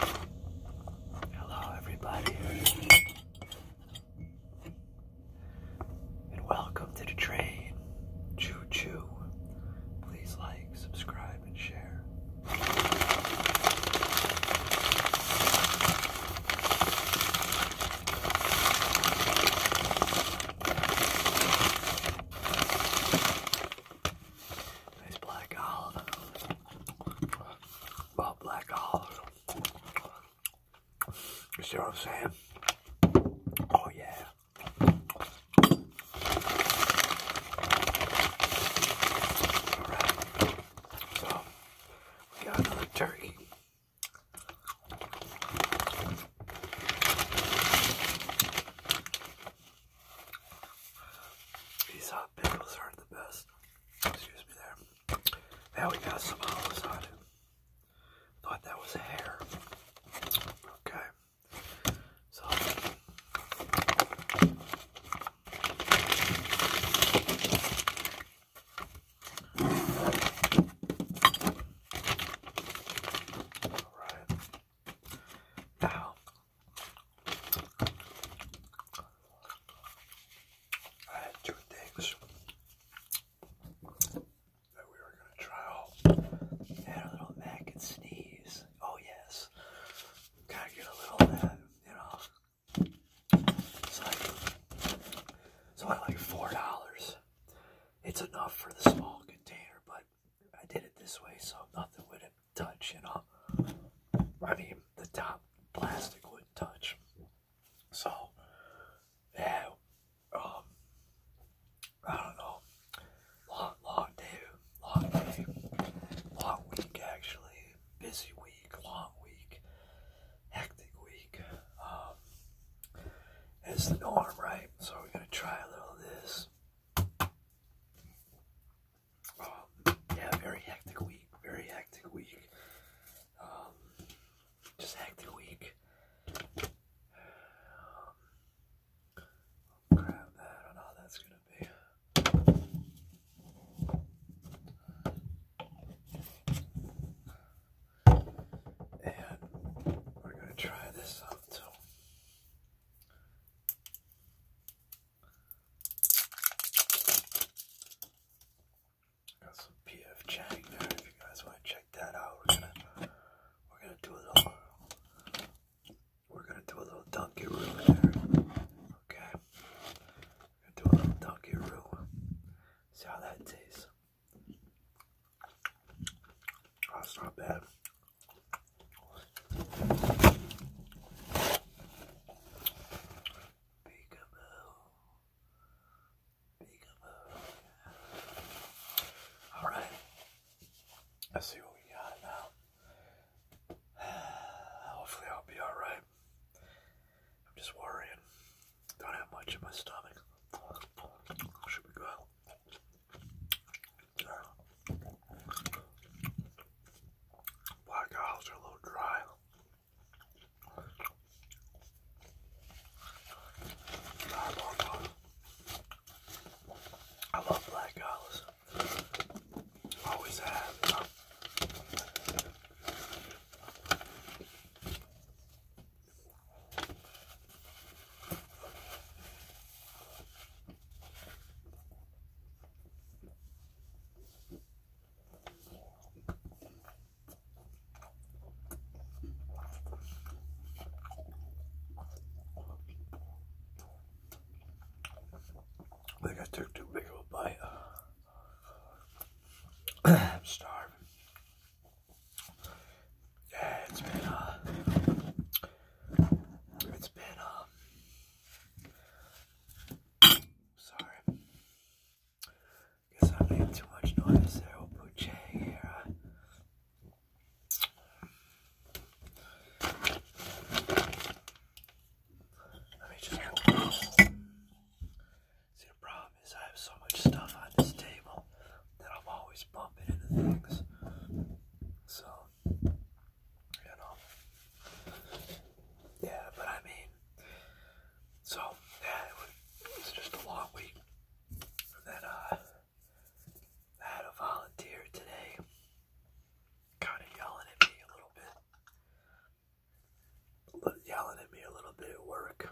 Hello, everybody, and welcome to the train. Choo choo. Please like, subscribe, and share. Nice black olive about black olives. You see what I'm saying? Oh yeah. Alright. So we got another turkey. These hot uh, pickles aren't the best. Excuse me there. Now we got some olives on Thought that was hair. Okay. So. Alright. Now, I two things we were going to try out. I had a little mac and sneeze. Oh, yes. Gotta get a little of you know. It's like, so I like $4. It's enough for the small container, but I did it this way, so nothing with it touch, you know. I mean, the top plastic wouldn't touch. So, yeah, um, I don't know. Long, long day, long day, long week actually. Busy week, long week, hectic week. Um, it's the norm, right? So we're gonna try a little of this. Um, yeah, very hectic week. Very hectic week. Um, just hectic week. Um, grab I don't know how that's gonna be. And we're gonna try this out too. Got some PF Chang If you guys want to check that out, we're gonna we're gonna do a little we're gonna do a little donkey room there. Okay, we're gonna do a little donkey room. See how that tastes. Oh, it's not bad. All right. Let's see what we got now. Hopefully, I'll be all right. I'm just worrying. Don't have much in my stomach. Should we go Black eyes are a little dry. I love, black olives. Always have. I think I took too big of a bite. I'm starving. Yeah, it's been uh, it's been, um, sorry. Guess I made too much noise there. We'll put See, the problem is I have so much stuff on this table that I'm always bumping into things. So, you know. Yeah, but I mean, so, yeah, was, just a long week. And uh, I volunteer today kind of yelling at me a little bit. Yelling at me a little bit at work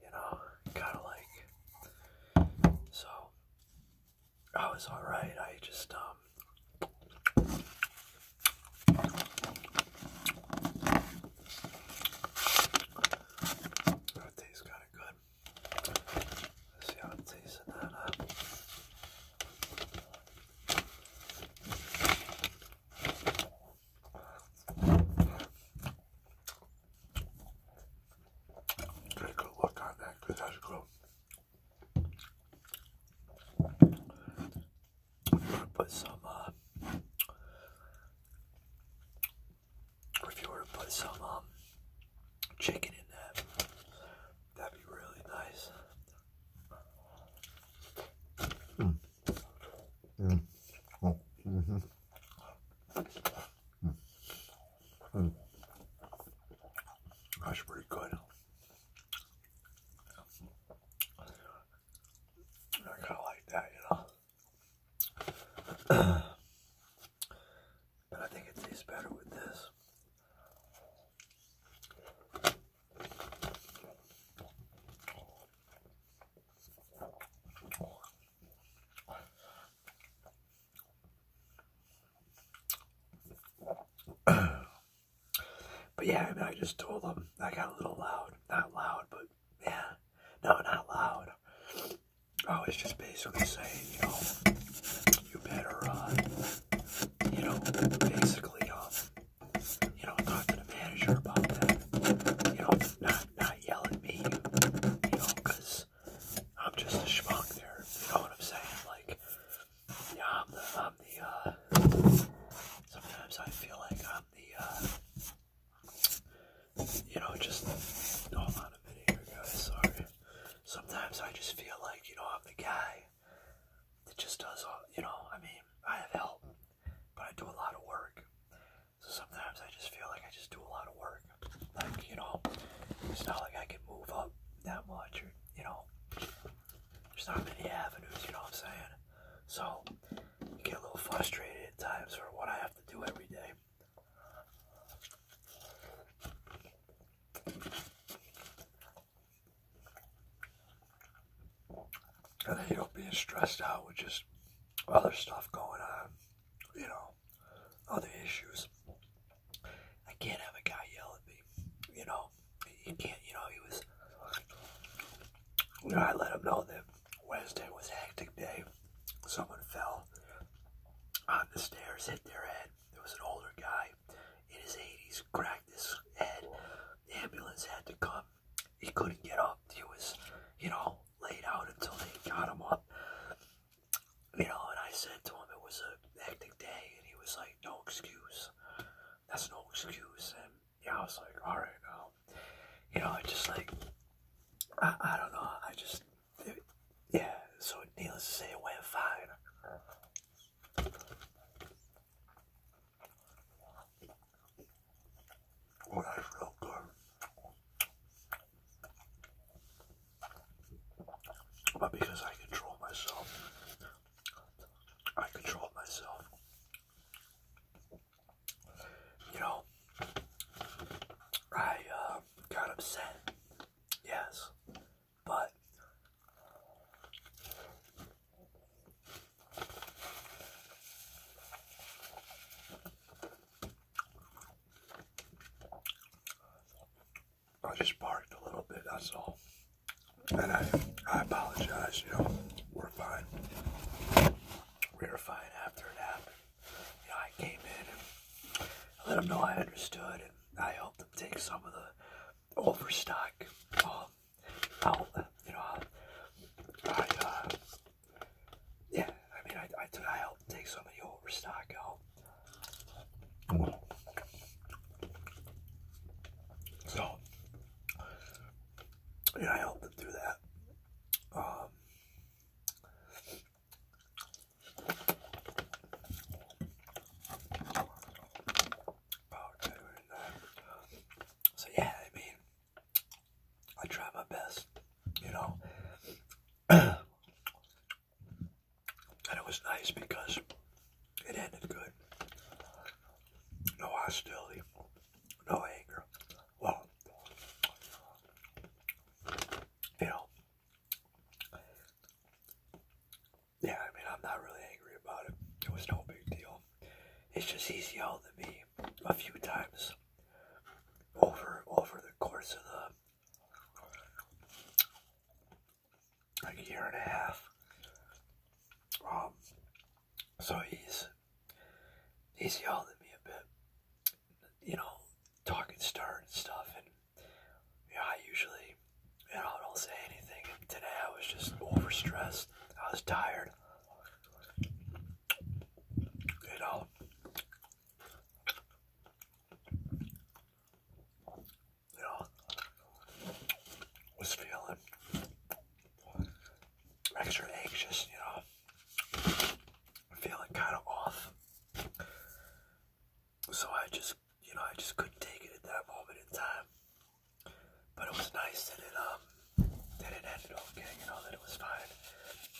you know, kinda like so I was alright, I just um that tastes kinda good. Let's see how it tastes in that uh, good look on that because that's cool. I'm gonna put some. Uh, if you were to put some um, chicken in that, that'd be really nice. Mm. Mm. Oh, mm-hmm. Mm. That's pretty good. I kind of like that, you know. but I think it tastes better with this. but yeah, I mean, I just told them I got a little loud. Not loud, but yeah. No, not loud. Oh, it's just basically saying, you know, you better, uh, you know, basically, uh, you know, talk to the manager about that. You know, not not yell at me, you know, because I'm just a schmuck there. You know what I'm saying? Like, yeah, I'm the, I'm the. Uh, sometimes I feel like I'm the. Uh, you know, just hold on a minute here, guys. Sorry. Sometimes I just feel like you know I'm the guy that just does all. You know, I mean, I have help, but I do a lot of work. So sometimes I just feel like I just do a lot of work. Like, you know, it's not like I can move up that much or, you know, there's not many avenues, you know what I'm saying? So, I get a little frustrated at times for what I have to do every day and don't being stressed out with just other stuff going on, you know, other issues. I can't have a guy yell at me, you know. You can't, you know. He was, you know, I let him know that Wednesday was a hectic day. Someone fell on the stairs, hit their head. There was an older guy in his 80s, cracked his head. ambulance had to come he couldn't get up. He was, you know, laid out until they got him up. You know, and I said to him it was a hectic day, and he was like, "No excuse. That's no excuse." And yeah, I was like, "All right, now, you know, I just like, I, I don't know, I just, yeah." So needless to say, it went fine that's real good. But because I control myself, I control myself. You know, I uh, got upset, yes, but I just barked a little bit, that's all. And I, I apologize, you know, we're fine. We were fine after it happened. You know, I came in and let them know I understood, and I helped them take some of the overstock um, I'll, uh, you know, I'll, uh, yeah, I mean, I, I, took, I helped take some of the overstock out. So, you know, I help them do that. Um, uh, so yeah, I mean, I try my best, you know. and it was nice because it ended good. No hostility, no anger. Well, you know, yeah, I mean, I'm not really angry about it. It was no big deal. It's just he's yelled at me a few times over over the course of the like a year and a half. Um, so he's he's yelled at me a bit, you know, talking stern stuff, and you I usually you know I don't say anything. today I was just overstressed. I was tired. Get out. You know, was feeling extra anxious, you know, feeling kind of off. So I just, you know, I just couldn't take it at that moment in time. But it was nice that it um that it ended okay, you know, that it was fine.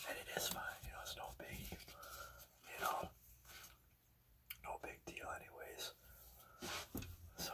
And it is fine, you know, it's no big you know no big deal anyways. So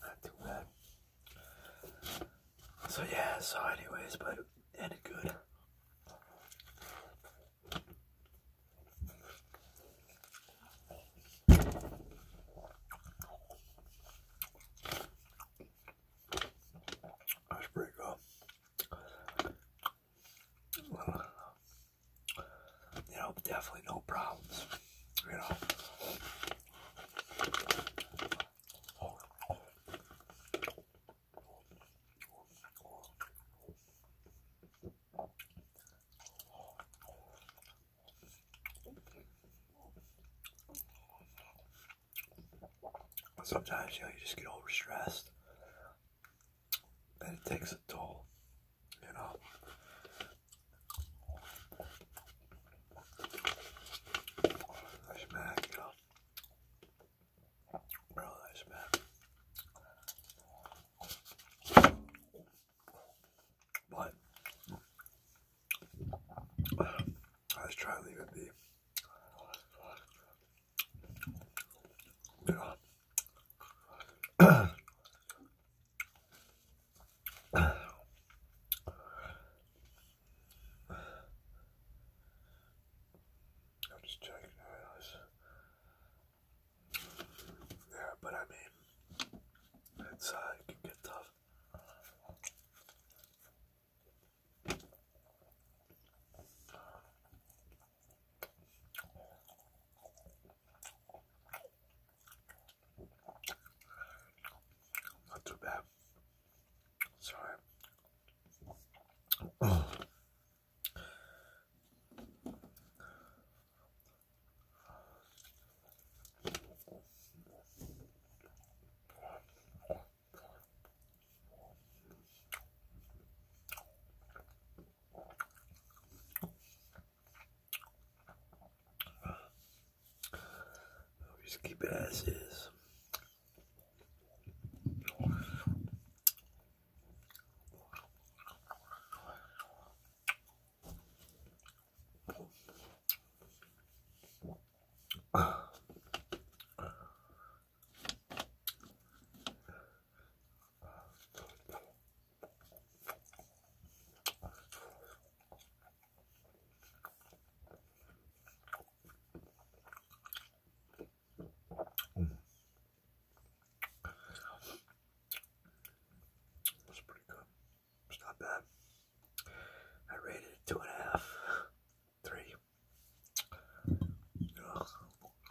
Not too bad. So yeah, so anyways, but it good. That's pretty good you know, definitely no problems, you know. Sometimes you know you just get over stressed, and it takes a toll you know. Nice bag, you know. Really nice bag. But I was trying to leave You know. I'm just checking Yeah, but I mean, it's uh, it can tough. Not too bad. Sorry. I'll just keep it as is. That's pretty good. It's not bad. I rated it two and a half, three.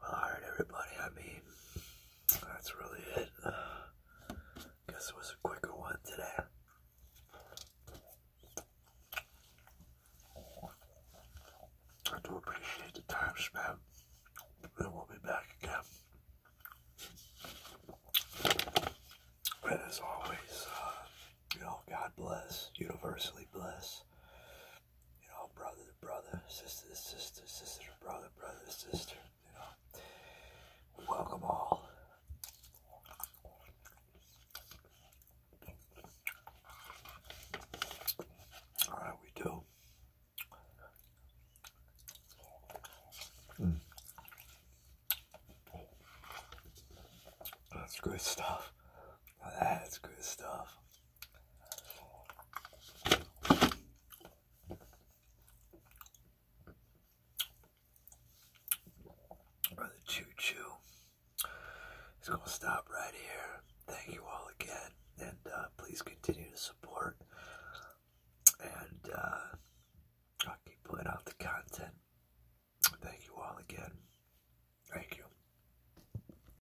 Well, alright, everybody, I mean, that's really it. Uh, guess it was a quicker one today. I do appreciate the time spent, and we'll be back again. And as always, uh, you know, God bless, universally bless, you know, brother to brother, sister to sister, sister to brother, brother to sister, you know. welcome all. All right, we do. Hmm. That's good stuff. That's good stuff. Brother Choo Choo is going to stop right here. Thank you all again, and uh, please continue to support. And uh, i keep putting out the content. Thank you all again. Thank you.